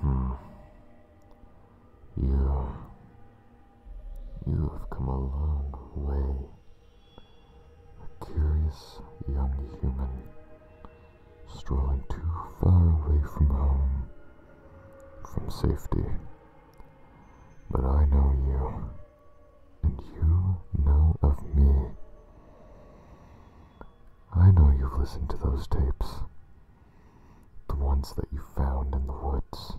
Hmm. You. You have come a long way. A curious young human, strolling too far away from home, from safety. But I know you, and you know of me. I know you've listened to those tapes. The ones that you found in the woods.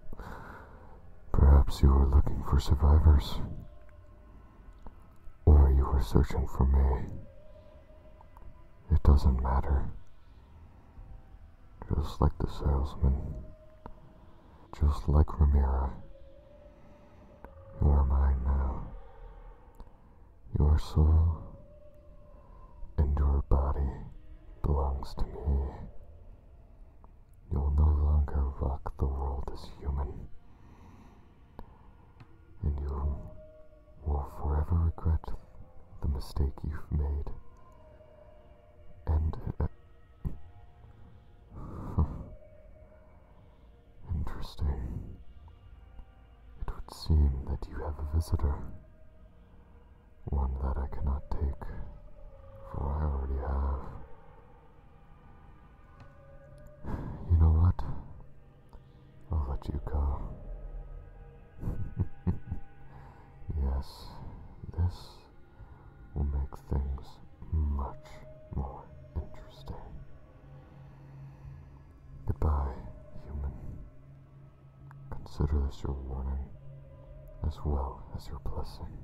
Perhaps you were looking for survivors. Or you were searching for me. It doesn't matter. Just like the salesman. Just like Ramiro. You are mine now. Your soul and your body belongs to me. You'll no longer rock the world as human. And you will forever regret the mistake you've made. And. Uh, interesting. It would seem that you have a visitor. One that I cannot take, for I already have. You know what? I'll let you go. yes, this will make things much more interesting. Goodbye, human. Consider this your warning as well as your blessing.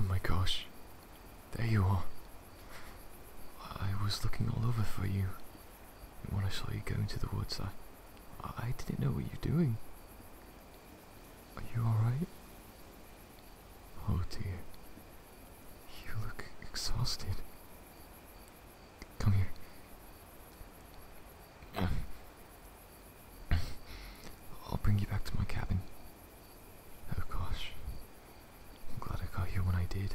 Oh my gosh, there you are. I was looking all over for you. When I saw you go into the woods, I, I didn't know what you were doing. Are you alright? Oh dear. You look exhausted. Come here. I'll bring you back to my cabin. Oh gosh. I'm glad I got you when I did.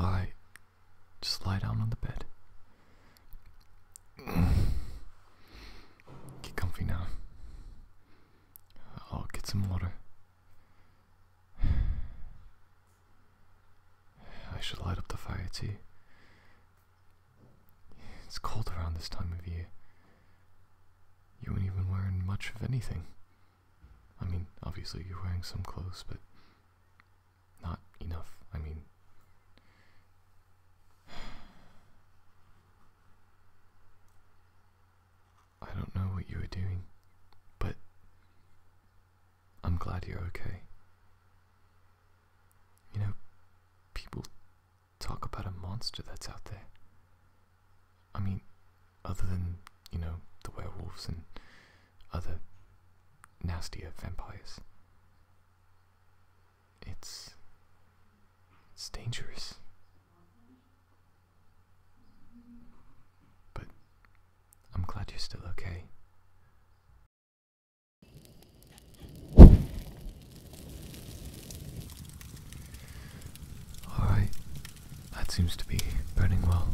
Alright, just lie down on the bed. Get comfy now. I'll get some water. I should light up the fire too. It's cold around this time of year. You ain't even wearing much of anything. I mean, obviously you're wearing some clothes, but not enough. I mean, I don't know what you were doing, but I'm glad you're okay. You know, people talk about a monster that's out there. I mean, other than, you know, the werewolves and other nastier vampires. It's. it's dangerous. But I'm glad you're still okay. Alright, that seems to be burning well.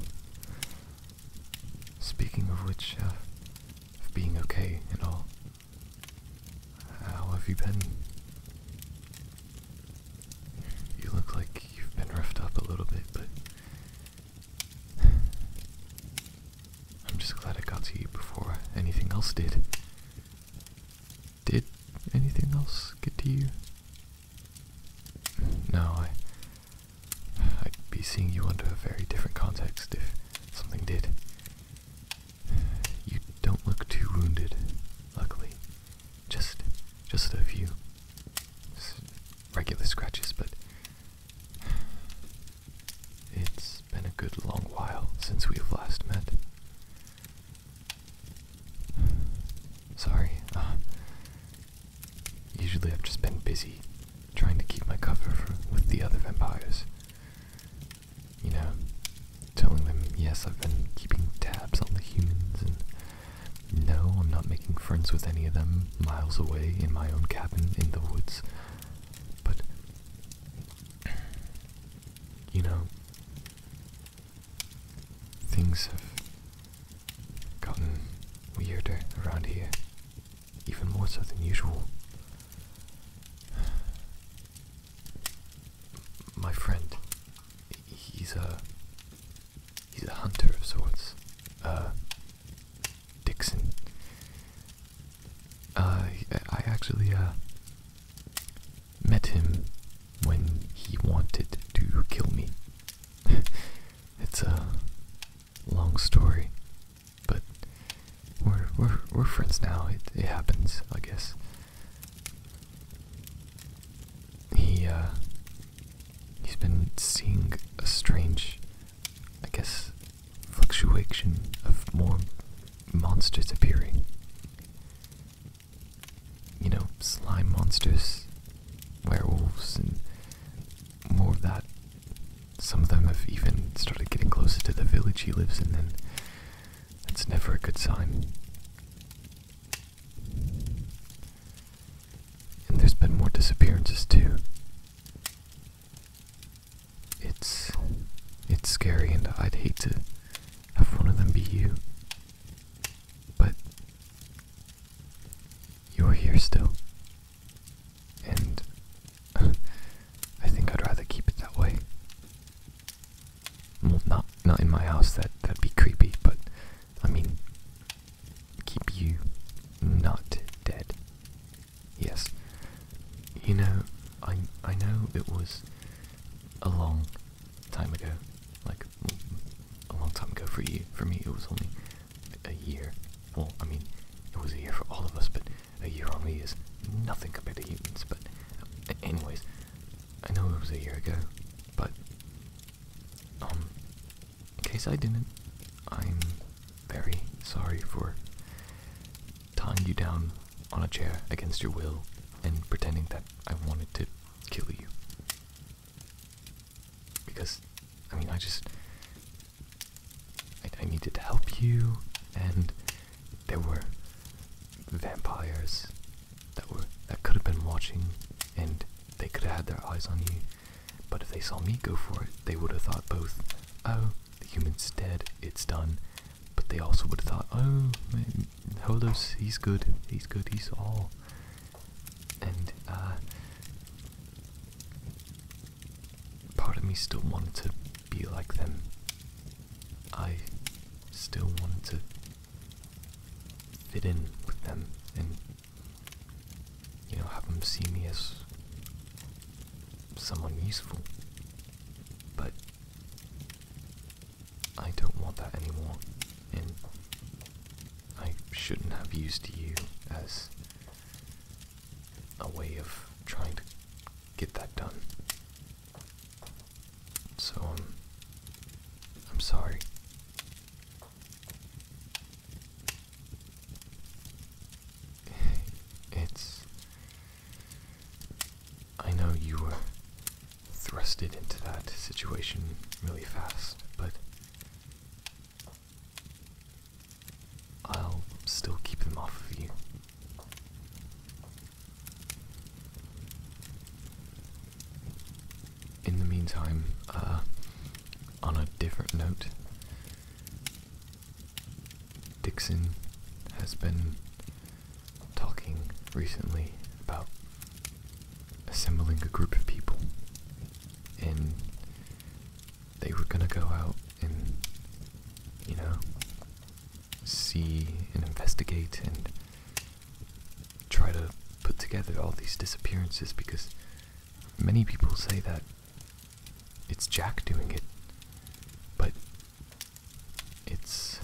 Speaking of which, uh, of being okay and all, how have you been? You look like you've been roughed up a little bit, but I'm just glad I got to you before anything else did. Did anything else get to you? No, I I'd be seeing you under a very different context if something did. You don't look too wounded, luckily just just a few regular scratches, but it's been a good long while since we've last met. Sorry. Uh, usually I've just been busy trying to keep my cover with the other vampires. You know, telling them, yes, I've been keeping tabs on the humans and no, I'm not making friends with any of them miles away in my own cabin in the woods. But, you know, things have gotten weirder around here, even more so than usual. My friend, he's a he's a hunter of sorts. Uh, Dixon. Uh, I actually uh met him when he wanted to kill me. it's a long story, but we're we're we're friends now. It it happens, I guess. He, uh, he's been seeing a strange, I guess, fluctuation of more monsters appearing. You know, slime monsters, werewolves, and more of that. Some of them have even started getting closer to the village he lives in, and that's never a good sign. And there's been more disappearances too. It's it's scary and I'd hate to have one of them be you. But you're here still. And I think I'd rather keep it that way. Well, not not in my house. That that'd be creepy. But I mean, keep you not dead. Yes. You know, I I know it was a long time ago. Like a long time ago for you. For me, it was only a year. Well, I mean, it was a year for all of us, but a year only is nothing compared to humans. But, anyways. I know it was a year ago, but um, in case I didn't, I'm very sorry for tying you down on a chair against your will and pretending that I wanted to kill you. Because, I mean, I just. I, I needed to help you, and there were vampires that were that could have been watching and they could have had their eyes on you. But if they saw me go for it, they would have thought both, oh, the human's dead, it's done. But they also would have thought, oh, man, Holos, he's good, he's good, he's all. And, uh, part of me still wanted to be like them. I still wanted to fit in with them and, you know, have them see me as someone useful. But I don't want that anymore, and I shouldn't have used you as a way of trying to get that done. So um, I'm sorry. It's. I know you were thrusted into that situation really fast, but. I'll still keep them off of you. In the meantime, uh, on a different note, Dixon has been talking recently about assembling a group of people, and they were gonna go out and, you know, see and investigate and try to put together all these disappearances because many people say that it's Jack doing it, but it's.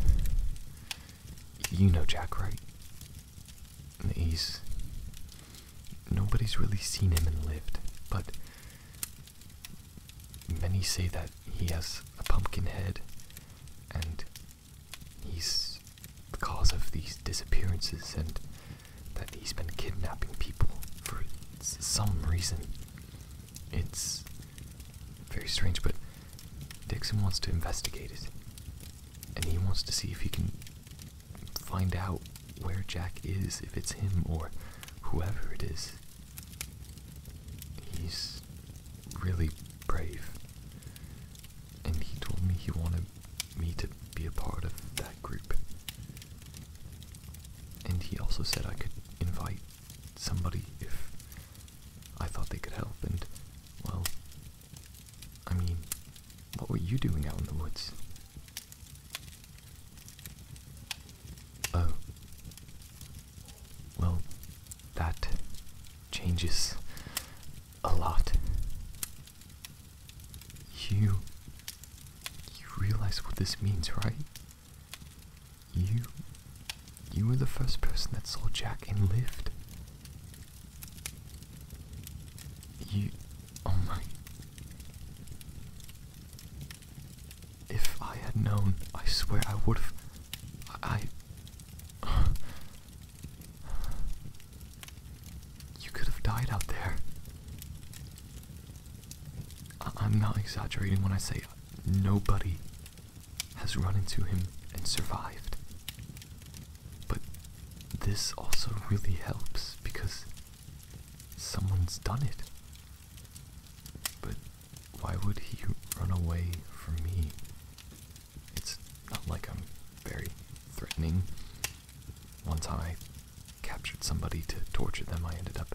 You know Jack, right? He's. Nobody's really seen him and lived, but Many say that he has a pumpkin head and he's the cause of these disappearances and that he's been kidnapping people for some reason. It's very strange, but Dixon wants to investigate it. And he wants to see if he can find out where Jack is, if it's him or whoever it is. He's really brave. And he told me he wanted me to be a part of that group. And he also said I could invite somebody if I thought they could help. And, well, I mean, what were you doing out in the woods? Oh. Well, that changes a lot. You. You realize what this means, right? You. You were the first person that saw Jack and lived. You. Oh my. If I had known, I swear I would have. I. I you could have died out there. I I'm not exaggerating when I say nobody has run into him and survived. But this also really helps because someone's done it. But why would he run away from me? It's not like I'm very threatening. Once I captured somebody to torture them, I ended up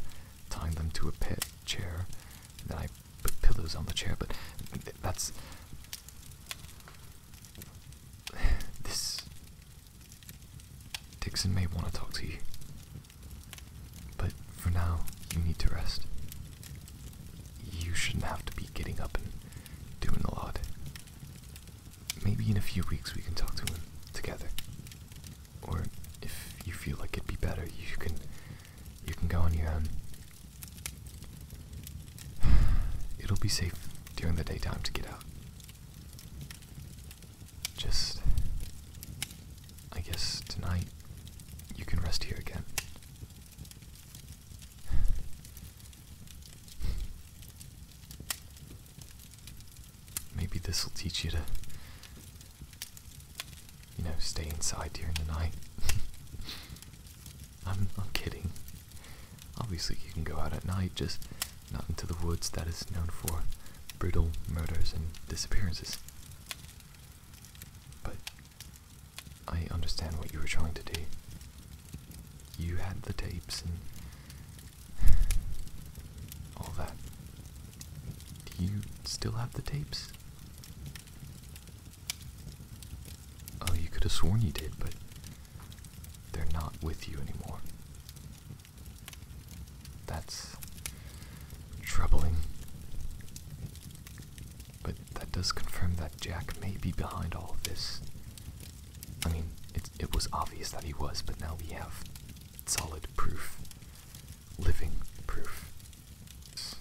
tying them to a pet chair, and then I put pillows on the chair, but that's. This Dixon may want to talk to you. But for now, you need to rest. You shouldn't have to be getting up and doing a lot. Maybe in a few weeks we can talk to him together. Or if you feel like it'd be better, you can you can go on your own. It'll be safe during the daytime to get out. Just. I guess tonight you can rest here again. Maybe this will teach you to, you know, stay inside during the night. I'm, I'm kidding. Obviously, you can go out at night, just not into the woods that is known for brutal murders and disappearances. But I understand what you were trying to do. You had the tapes and all that. Do you still have the tapes? Oh, you could have sworn you did, but they're not with you anymore. That's troubling. But that does confirm that Jack may be behind all of this. I mean, it, it was obvious that he was, but now we have solid proof. Living proof. It's,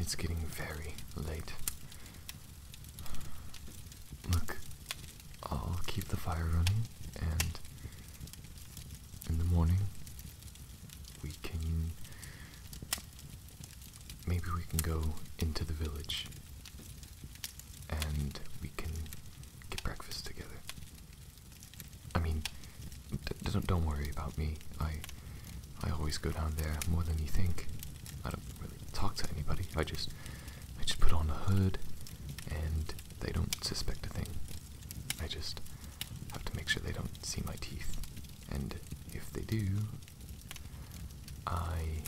it's getting very late. Look, I'll keep the fire running, and in the morning we can. Maybe we can go into the village and we can get breakfast together. I mean, don't, worry about me. I, I always go down there more than you think. I don't really talk to anybody. I just I just put on a hood and they don't suspect a thing. I just have to make sure they don't see my teeth. And if they do, I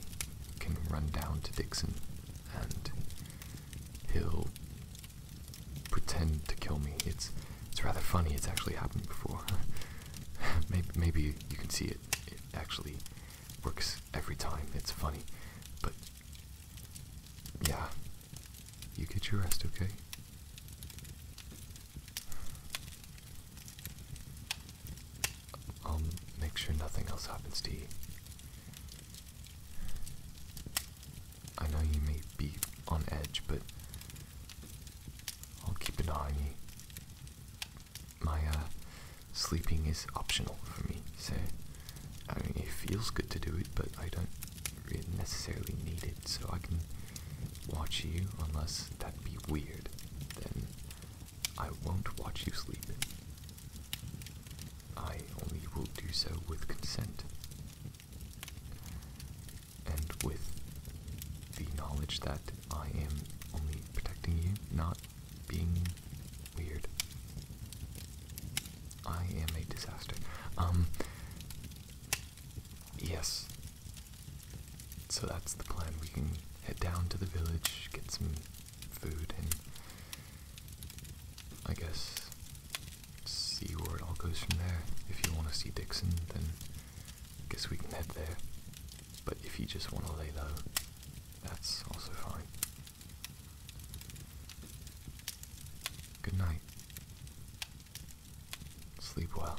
can run down to Dixon and he'll pretend to kill me. It's it's rather funny. It's actually happened before. maybe, maybe you can see it. It actually Works every time. It's funny. But yeah. You get your rest, okay? I'll make sure nothing else happens to you. I know you may be on edge, but I'll keep an eye on you my uh, sleeping is optional for me, so I mean, it feels good to do it, but I don't really necessarily need it, so I can watch you unless that be weird. Then I won't watch you sleep. I only will do so with consent. And with the knowledge that I am only protecting you, not being weird. I am a disaster. Um, yes. So that's the plan. We can head down to the village, get some food, and I guess see where it all goes from there. If you want to see Dixon, then I guess we can head there. But if you just want to lay low, that's also fine. Good night. Sleep well.